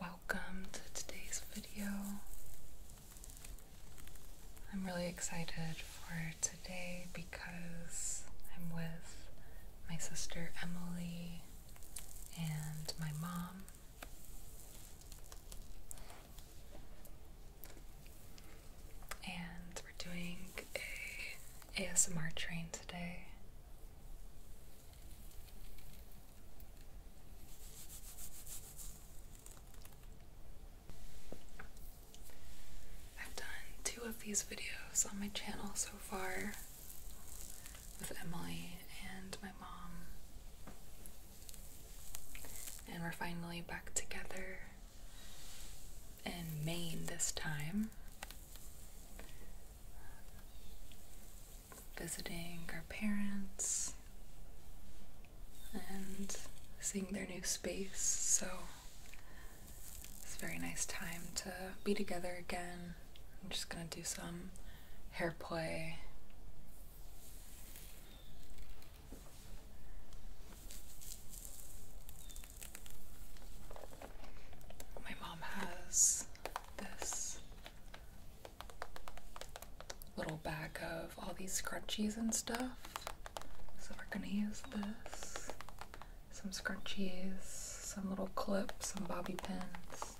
Welcome to today's video. I'm really excited for today because I'm with my sister Emily and my mom and we're doing a ASMR train today. I've done two of these videos on my channel so far with Emily and my mom. And we're finally back together and Maine this time, visiting our parents and seeing their new space. So it's a very nice time to be together again. I'm just gonna do some hair play. My mom has this little bag of all these scrunchies and stuff. So we're gonna use this. Some scrunchies, some little clips, some bobby pins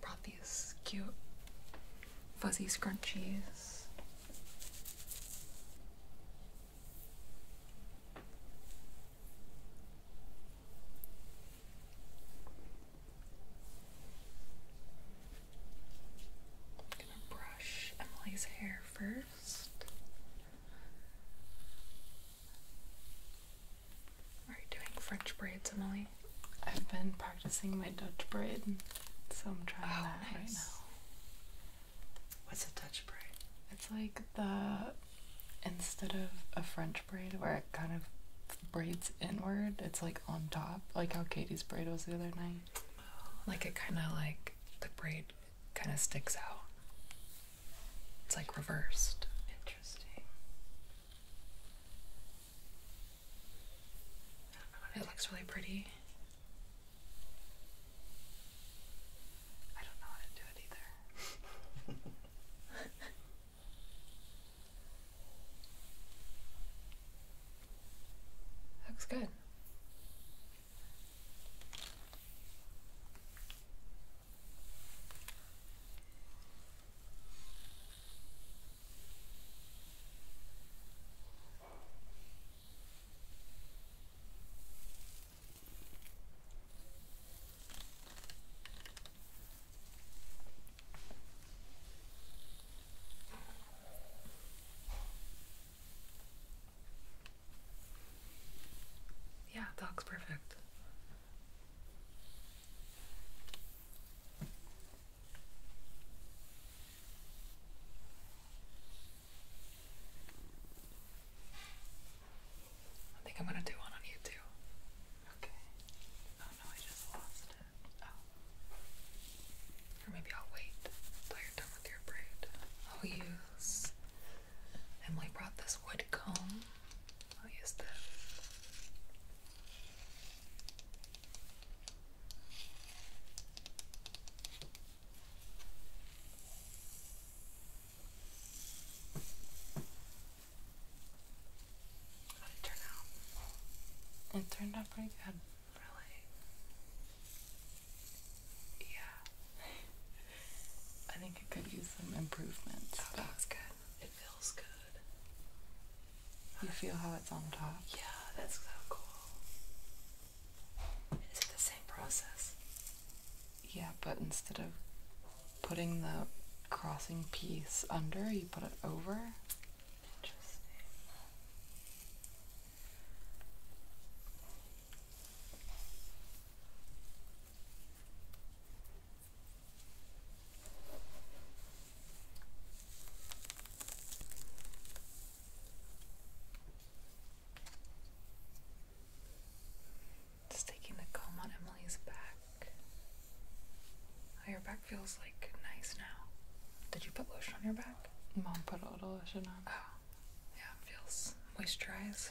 brought these cute fuzzy scrunchies. I'm gonna brush Emily's hair first. Are you doing French braids, Emily? I've been practicing my Dutch braid, so I'm trying oh, that right now. What's a Dutch braid? It's like the instead of a French braid where it kind of braids inward, it's like on top, like how Katie's braid was the other night. Like it kind of like the braid kind of sticks out. It's like reversed. Interesting it looks really pretty. I don't know how to do it either. looks good. Yeah, dogs, perfect. I think I'm gonna do one on you too. Okay. Oh no, I just lost it. Oh. Or maybe I'll wait until you're done with your braid. I'll use. Emily brought this wood comb Oh yes, use that. it turn out? It turned out pretty good, really. Yeah. I think it could use some improvements. Oh, that was good. It feels good. You feel how it's on top? Yeah, that's so cool. Is it the same process? Yeah, but instead of putting the crossing piece under, you put it over. Interesting. Just taking the comb on Emily's back. Oh, your back feels like nice now. Did you put lotion on your back? Mom put a little lotion on. Oh, yeah, it feels moisturized.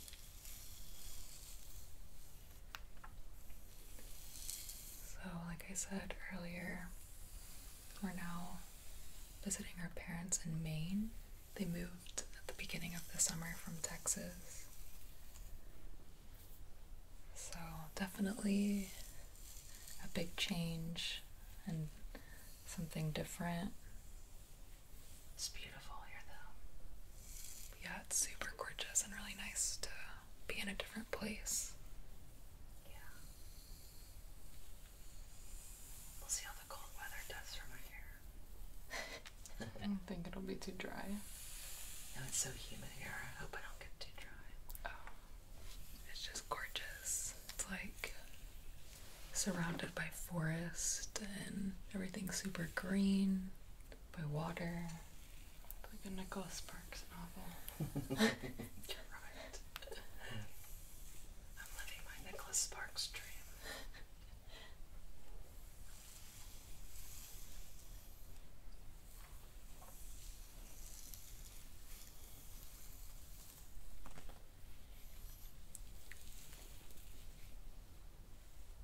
So, like I said earlier, we're now visiting our parents in Maine. They moved at the beginning of the summer from Texas. So, definitely a big change and something different. It's beautiful here though. Yeah, it's super gorgeous and really nice to be in a different place. Yeah. We'll see how the cold weather does for my hair. I don't think it'll be too dry. No, it's so humid here. I hope I don't get too dry. Oh. It's just gorgeous. It's like surrounded by forest and everything's super green by water. Like a Nicholas Sparks novel. You're right. I'm living my Nicholas Sparks dream.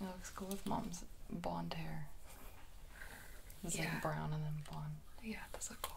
It looks cool with mom's blonde hair. yeah. brown and then blonde. Yeah, that's look cool.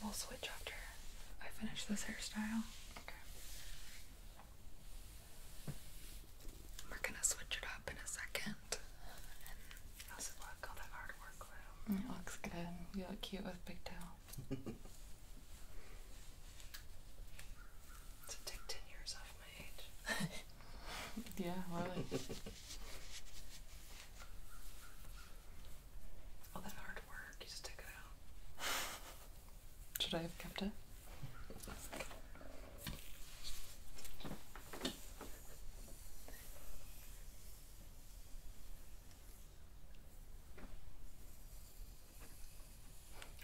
We'll switch after I finish this hairstyle. Okay. We're gonna switch it up in a second. looks good. You look cute with big tail. a take ten years off my age. yeah, really. All that hard work, you just took it out. Should I have kept it?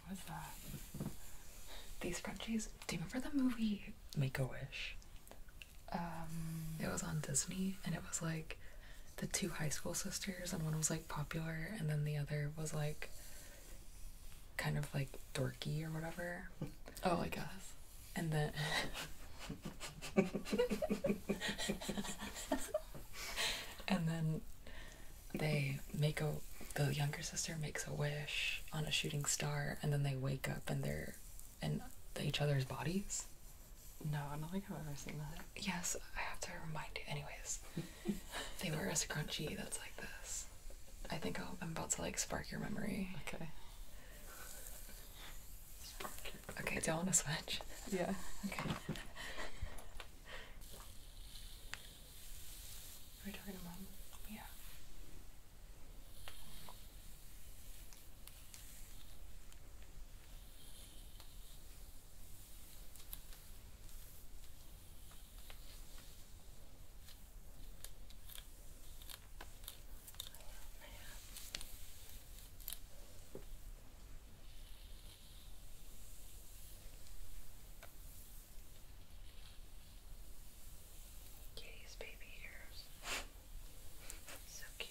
What is that? These Frenchies. Do you remember the movie Make a Wish? Um, it was on Disney, and it was like the two high school sisters, and one was like popular, and then the other was like kind of like dorky or whatever. Oh, I guess. And then. and then they make a the younger sister makes a wish on a shooting star and then they wake up and they're in each other's bodies. No, I don't think I've ever seen that. Yes, I have to remind you. Anyways, they wear a crunchy. That's like this. I think i I'm about to like spark your memory. Okay. Okay, do I want to switch? Yeah. Okay. Are we talking to mom? Yeah. Kitty's baby ears. so cute.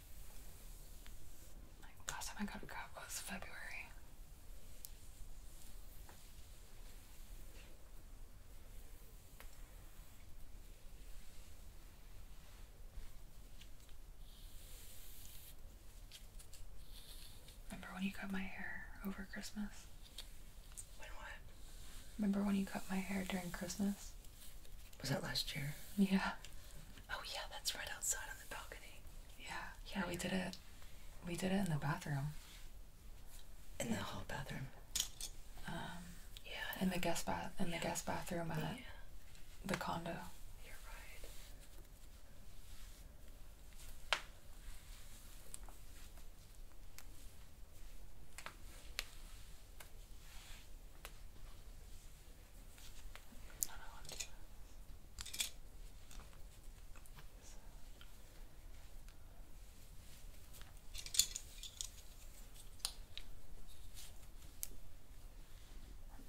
last time I got a cup was February. Remember when you cut my hair over Christmas? When what? Remember when you cut my hair during Christmas? Was that last year? Yeah. Oh yeah, that's right outside yeah. Yeah, we did it. We did it in the bathroom. In the whole bathroom. Um, yeah. In the guest bath. In the guest bathroom at the condo. You're right.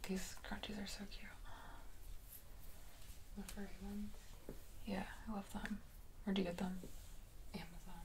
These crunchies are so cute. The furry ones. Yeah, I love them. Where'd you get them? Amazon.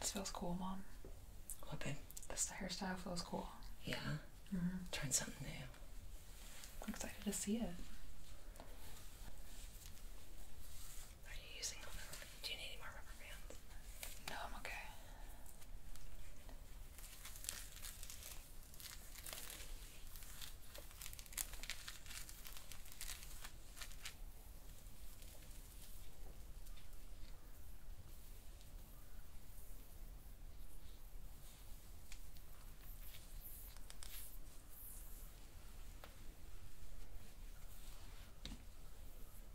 This feels cool, Mom. What, babe? This hairstyle feels cool. Yeah. Mm -hmm. Trying something new. I'm excited to see it. Are you using do you need any more rubber bands? No, I'm okay.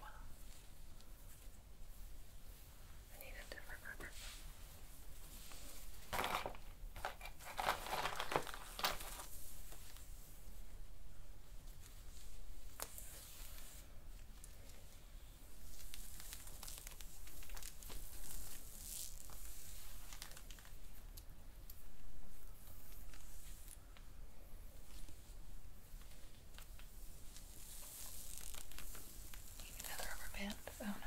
Wow. I need a different rubber. Need another rubber band? Oh no.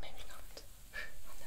Maybe not. oh no.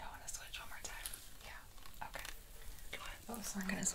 I want to switch one more time. Yeah. Okay. Come on. What was working is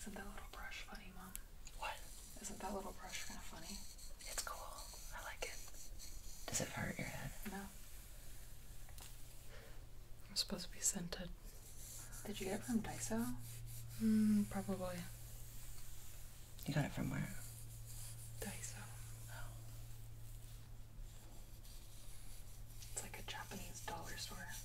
Isn't that little brush funny, Mom? What? Isn't that little brush kind of funny? It's cool. I like it. Does it hurt your head? No. It's supposed to be scented. Did you get it from Daiso? Mm, probably. You got it from where? Daiso. Oh. It's like a Japanese dollar store.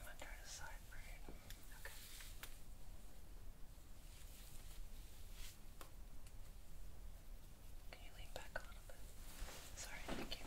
I'm gonna try to side Okay. Can you lean back a little bit? Sorry, thank you.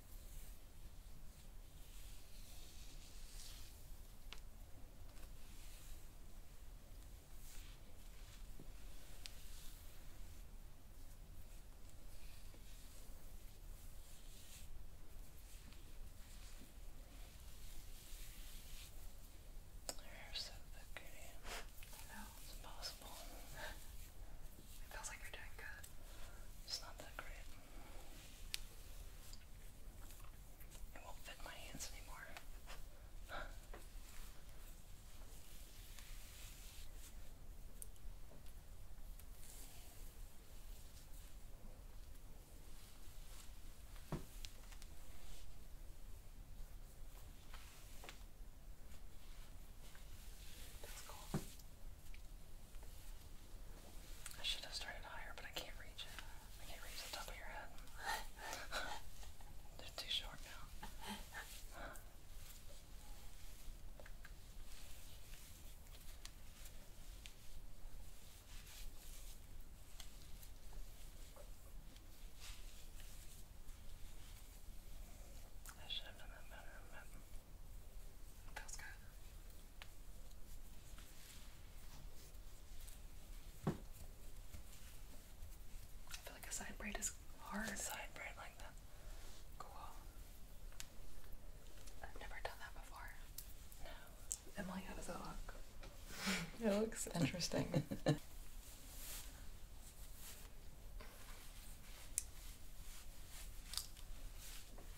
They're so thick, I know it's impossible. It feels like you're doing good. It's not that great. It won't fit my hands anymore. That's cool. I should have started higher, but I can't reach it. I can't reach the top of your head. They're too short now. I should have done that better, but feels good. I feel like a side braid is hard. A side braid like that. Cool. I've never done that before. No. Emily, how does it look? it looks interesting.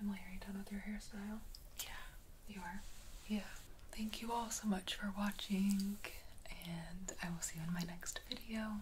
Emily, are you done with your hairstyle? Yeah, you are. Yeah. Thank you all so much for watching, and I will see you in my next video.